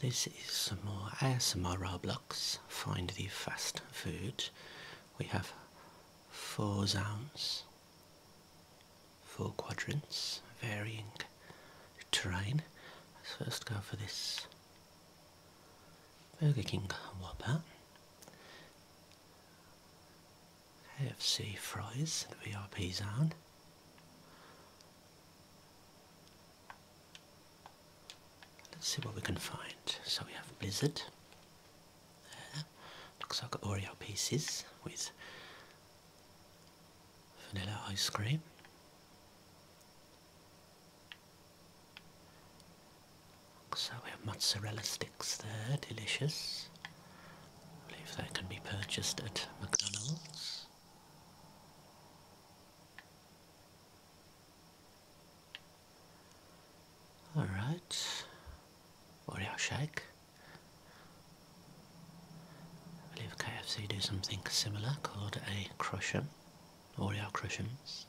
This is some more ASMR blocks. Find the fast food. We have four zones, four quadrants, varying terrain. Let's first go for this Burger King Whopper. KFC fries, the VIP zone. Let's see what we can find. So we have Blizzard. Looks like Oreo pieces with vanilla ice cream. So we have mozzarella sticks there, delicious. believe they can be purchased at McDonald's. All right, body shake. I believe KFC do something similar called a crusher, audio crushums.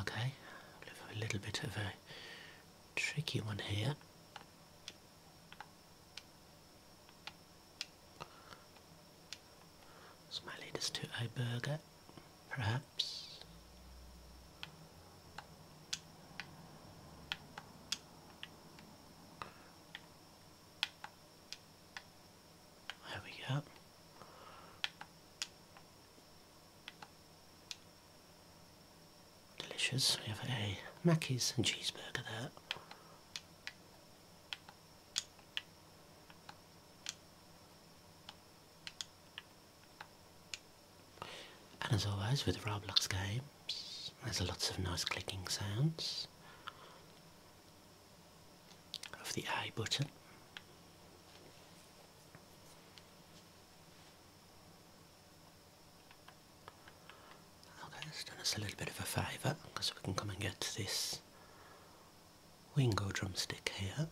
Okay, a little bit of a tricky one here. This might lead us to a burger, perhaps. There we go. Delicious. We have a Mackey's and cheeseburger there. And as always with Roblox games, there's lots of nice clicking sounds of the I button. Okay, that's done us a little bit of a favour because we can come and get this wingo drumstick here.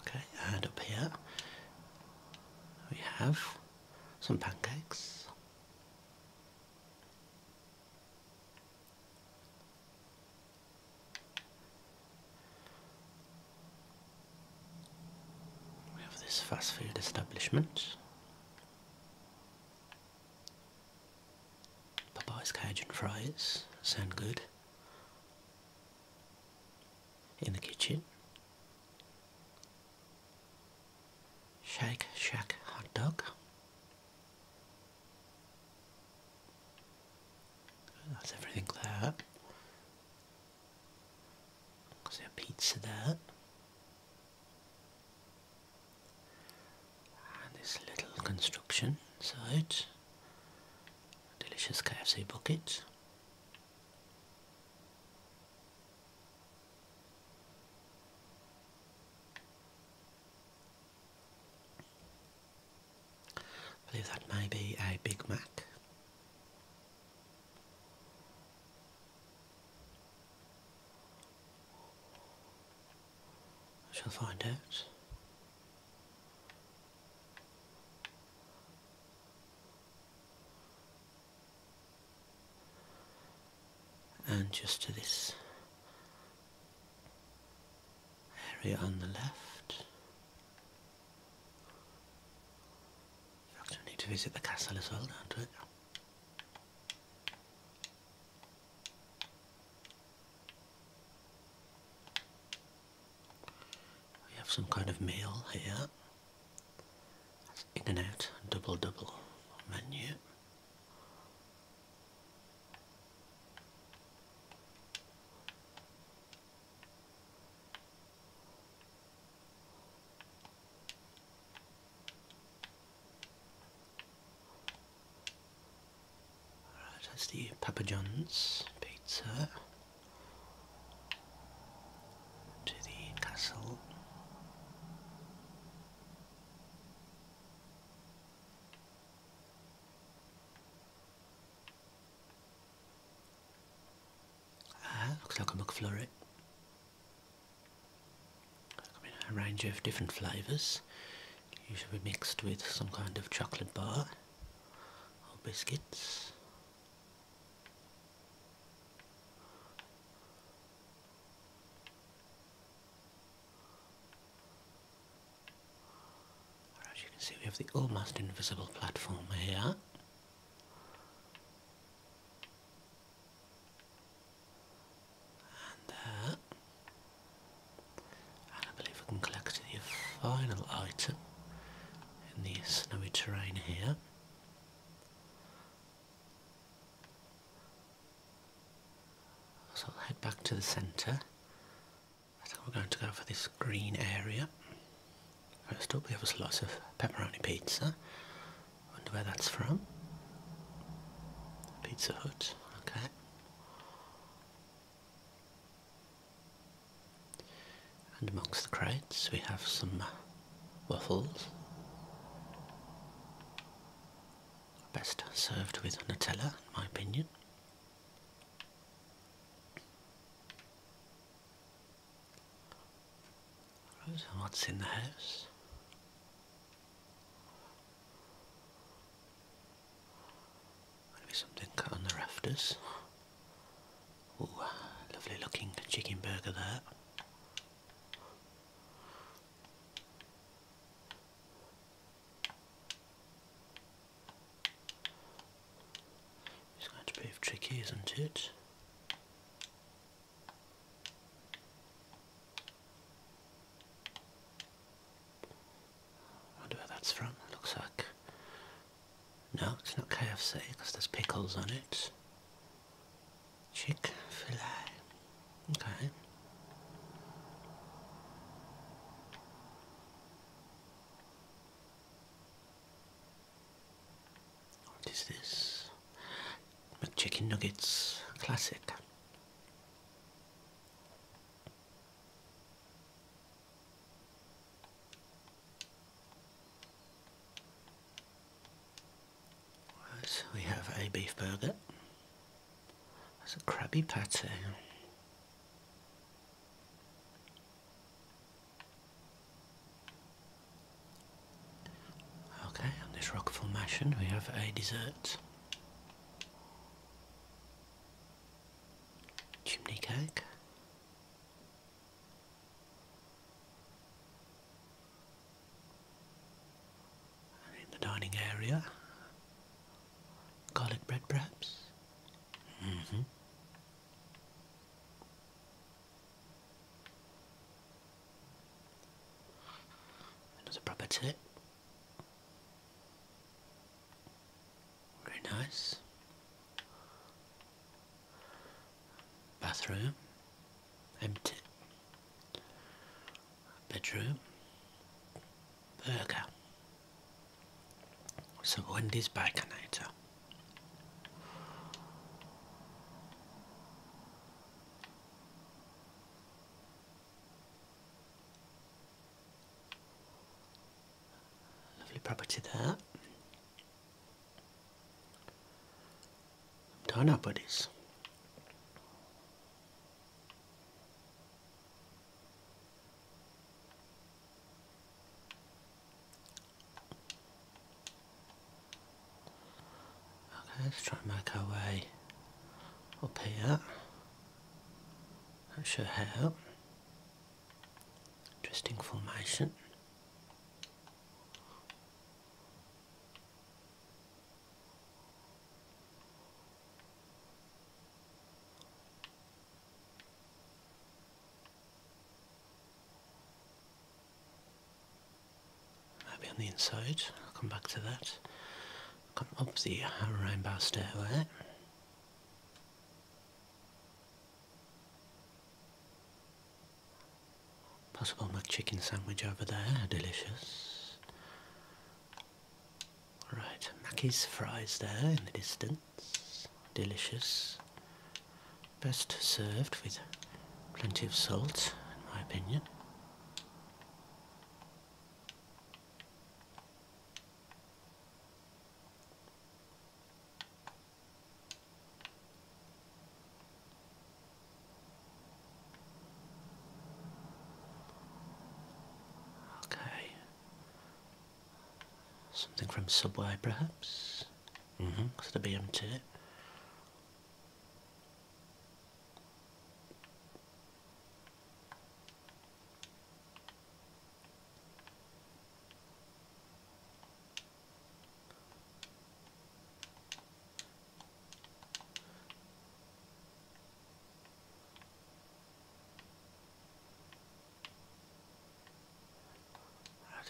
Okay, and up here we have some pancakes. We have this fast food establishment. Popeye's Cajun fries sound good in the kitchen. Shake Shack hot dog. That's everything there. Is there a pizza there? this little construction inside delicious KFC bucket I believe that may be a Big Mac I shall find out. And just to this area on the left. In need to visit the castle as well, don't we? We have some kind of meal here. in and out double double menu. Alright, that's the Papa John's pizza to the castle. Ah, looks like a McFlurry a range of different flavours, usually mixed with some kind of chocolate bar or biscuits. as you can see we have the almost invisible platform here. And that. Uh, and I believe we can collect the final item in the snowy terrain here. So I'll head back to the centre. I think we're going to go for this green area. First up we have a slice of pepperoni pizza. Wonder where that's from. Pizza Hut okay? And amongst the crates we have some uh, waffles. Best served with Nutella, in my opinion. what's in the house? Maybe something cut on the rafters. Ooh, uh, lovely looking chicken burger there. It's going to prove tricky, isn't it? I wonder where that's from. looks like. No, it's not KFC because there's pickles on it. Chick fil A. Okay. What is this? chicken Nuggets. Classic. So we have a beef burger. That's a Krabby Patty. Okay, on this rock formation, we have a dessert. Chimney cake. in the dining area, garlic bread perhaps. -hmm. Another proper tip. Very nice. Bathroom. Empty. Bedroom. Burger. So Wendy's Baconator. Lovely property there. Done up with this. Okay, let's try and make our way up here. Not sure how. Interesting formation. Maybe on the inside, I'll come back to that. Come up the rainbow stairway. Possible my chicken sandwich over there, delicious. All right, Mackey's fries there in the distance, delicious. Best served with plenty of salt, in my opinion. Okay. Something from Subway, perhaps? Mm-hmm, because of the BMT.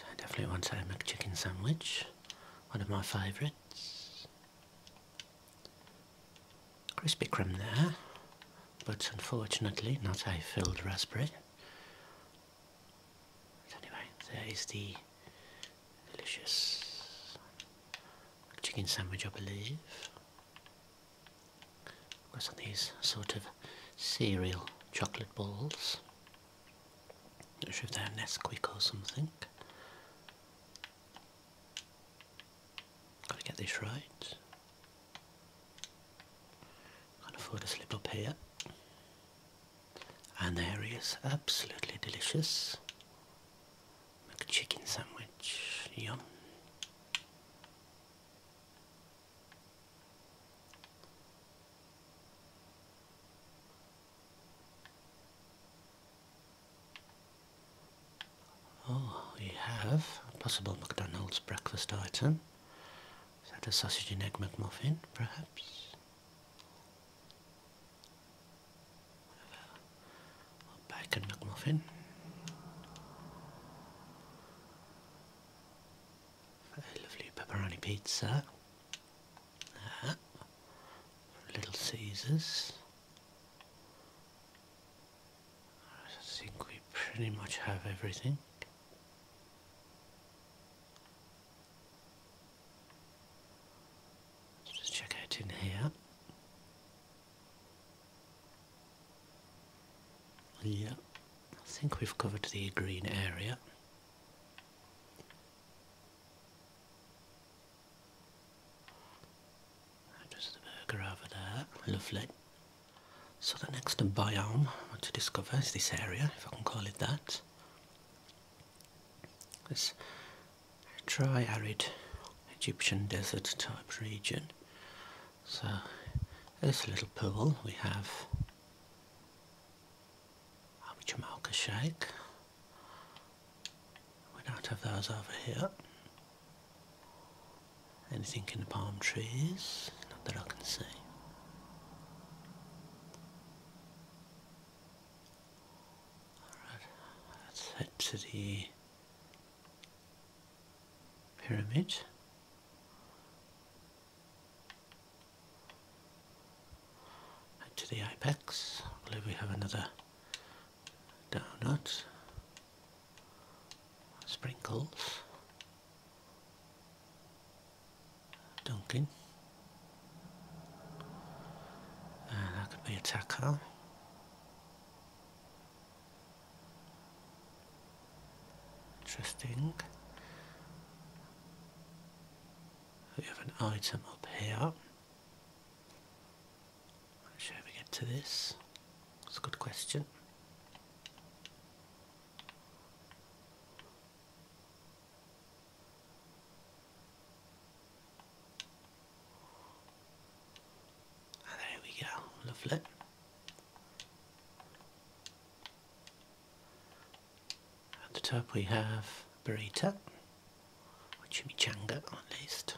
I definitely want a McChicken sandwich, one of my favourites. Crispy crumb there, but unfortunately not a filled raspberry. anyway, there is the delicious chicken sandwich, I believe. Of course, on these sort of cereal chocolate balls. Not sure if they're Nesquik or something. Gotta get this right. Can't afford to slip up here. And there he is, absolutely delicious. Make a chicken sandwich, yum. Oh, we have a possible McDonald's breakfast item. Is that a sausage and egg McMuffin, perhaps? bacon McMuffin. A lovely pepperoni pizza. Uh, Little Caesars. I think we pretty much have everything. Let's just check out in here. Yeah, I think we've covered the green area. There's the burger over there, lovely. So the next biome to discover is this area, if I can call it that. This dry, arid Egyptian desert type region. So this little pool we have Abichamalka Shake, we don't have those over here. Anything in the palm trees? Not that I can see. Alright, let's head to the pyramid to the apex. I believe we have another donut. Sprinkles. Dunkin. And that could be a Interesting. We have an item up here. Shall we get to this? It's a good question. Ah, there we go, lovely. At the top we have burrito or chimichanga at least.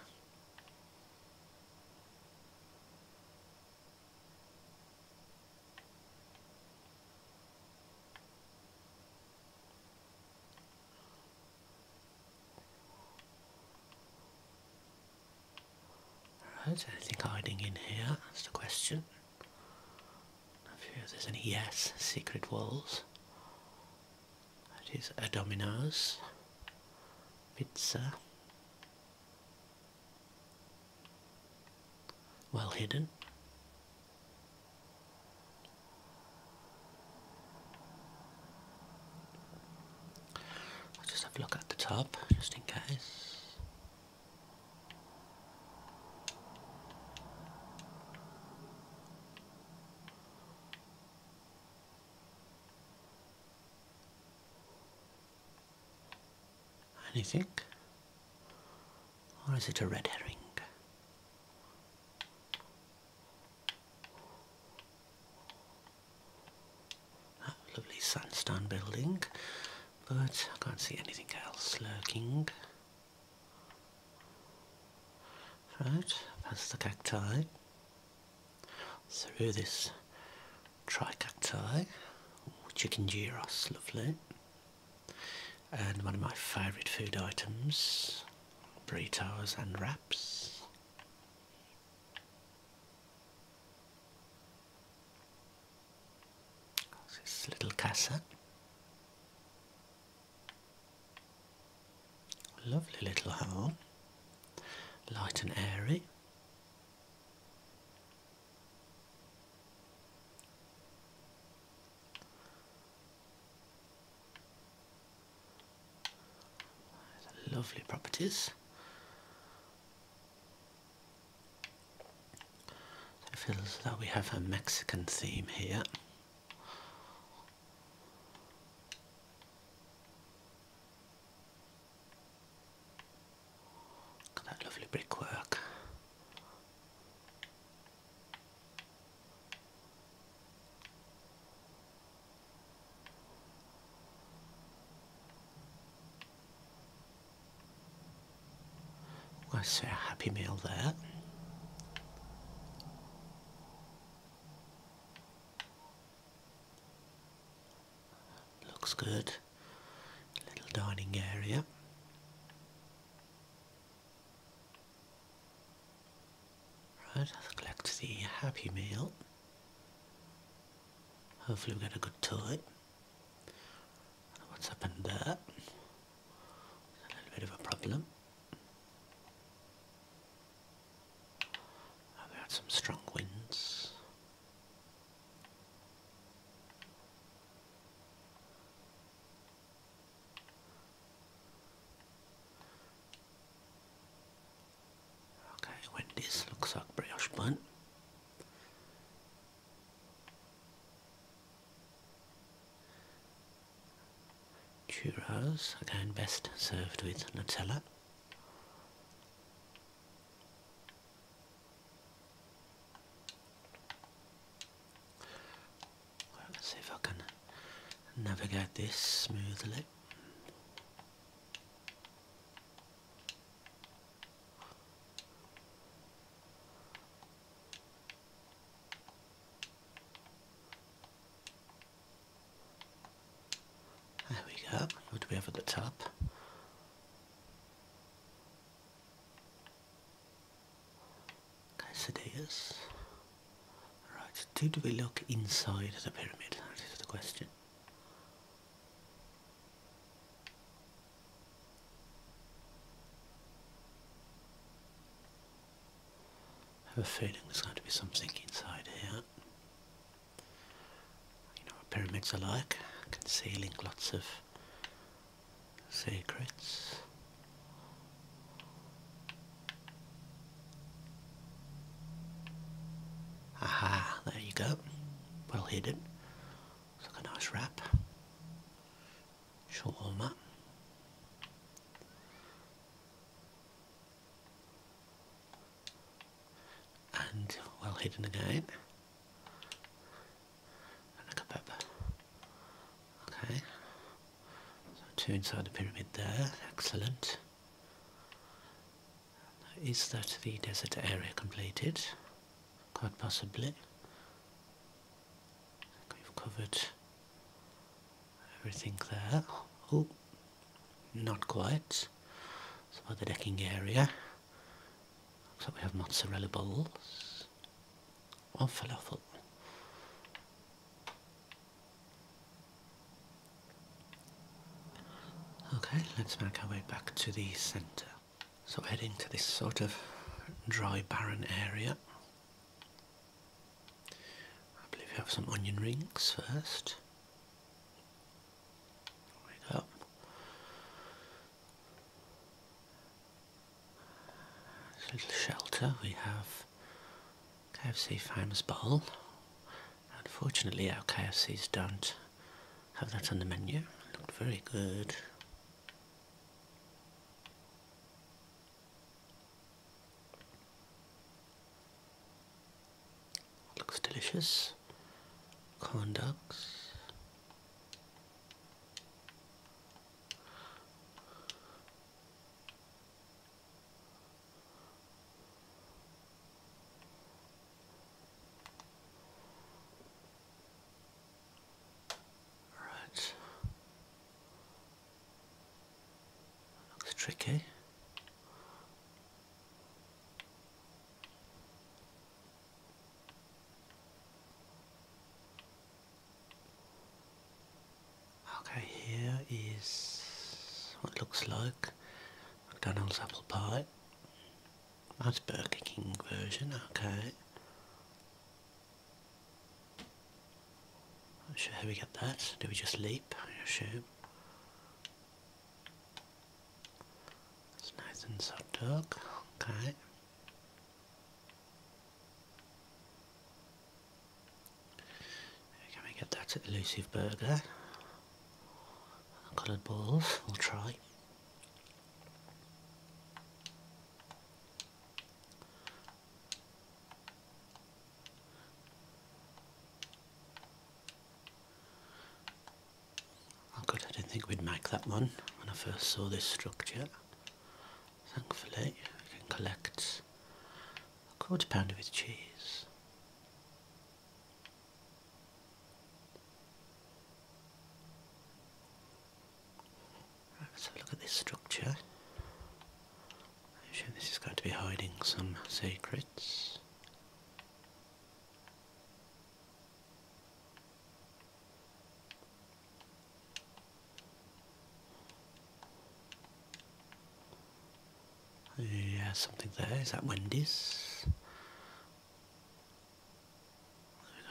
Right, anything hiding in here? That's the question. If there's any yes, secret walls. That is a Domino's pizza. Well hidden. I'll just have a look at the top, just in case. Anything? Or is it a red herring? That ah, lovely sandstone building, but I can't see anything else lurking. Right, past the cacti, through this tricacti, oh, chicken gyros, lovely, and one of my favourite food items, burritos and wraps. This little casa. Lovely little hat light and airy. Lovely properties. So it feels as we have a Mexican theme here. Look at that lovely brickwork. I see a happy meal there. Looks good. Little dining area. Right, I'll collect the happy meal. Hopefully we get a good toy. What's happened there? a little bit of a problem. we had some strong winds. Okay, Wendy's looks like brioche bun. Churros again, best served with Nutella. see if I can navigate this smoothly. There we go. What do we have at the top? Quesadillas. Right, did we look inside the pyramid? That is the question. I have a feeling there's going to be something inside here. You know what pyramids are like, concealing lots of secrets. Aha, there you go. Well hidden. It's like a nice wrap şu olma. And well hidden again. And a kebab. Okay. So two inside the pyramid there. Excellent. Is that the desert area completed? Quite possibly. We've covered everything there. Oh, not quite. So by the decking area, looks like we have mozzarella balls for, falafel. Okay, let's make our way back to the centre. So heading to this sort of dry barren area I believe we have some onion rings first. Right up. little shelter we have KFC Famous Bowl. Unfortunately our KFCs don't have that on the menu. looked very good. Looks delicious. Corn dogs. Alright. Looks tricky. Okay, here is what looks like McDonald's apple pie. That's Burger King version, okay. Not sure how we get that. Do we just leap? I assume. It's nice and soft dark. Okay. Can we get that elusive burger? Coloured balls. We'll try. Oh good, I didn't think we'd make that one when I first saw this structure. Thankfully, we can collect a quarter pounder with cheese let look at this structure. I'm sure this is going to be hiding some secrets. Yeah, something there. Is that Wendy's?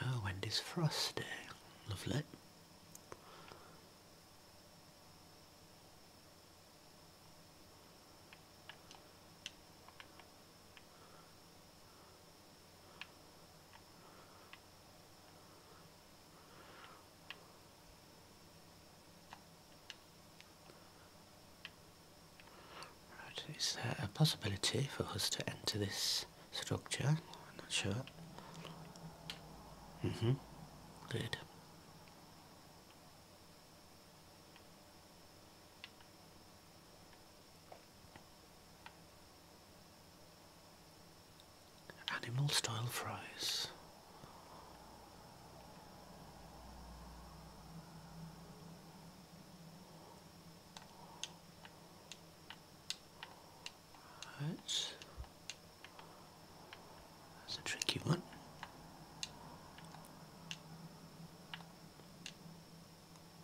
Oh, Wendy's Frosty. Lovely. Right, is there a possibility for us to enter this structure. I'm not sure. Mm -hmm. Great. Animal style fries. That's, a tricky one.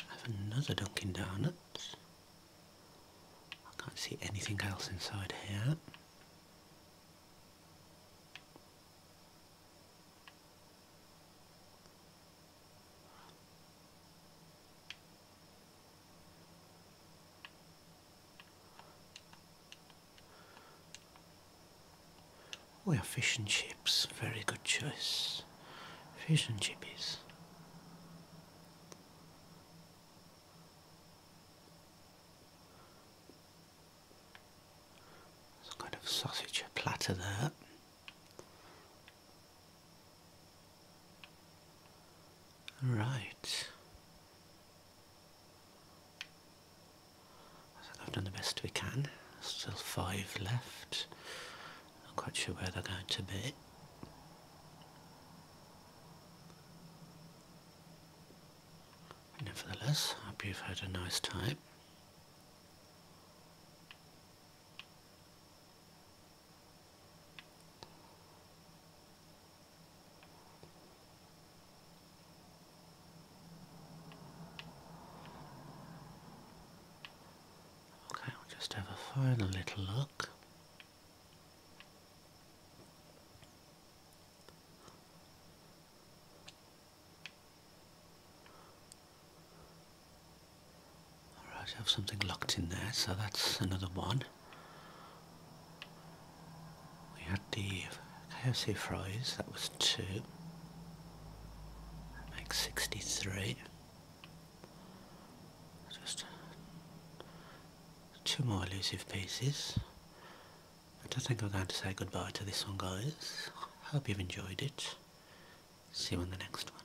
I have another Dunkin' Donuts. I can't see anything else inside here. We have fish and chips, very good choice. Fish and chippies. Some kind of sausage platter there. Right. I have done the best we can. Still five left. Not quite sure where they're going to be. Nevertheless, I hope you've had a nice time. Okay, we'll just have a final little look. Alright, I have something locked in there, so that's another one. We had the KFC fries, that was two. That makes 63. Just two more elusive pieces. I don't think I'm going to say goodbye to this one guys. Hope you've enjoyed it. See you on the next one.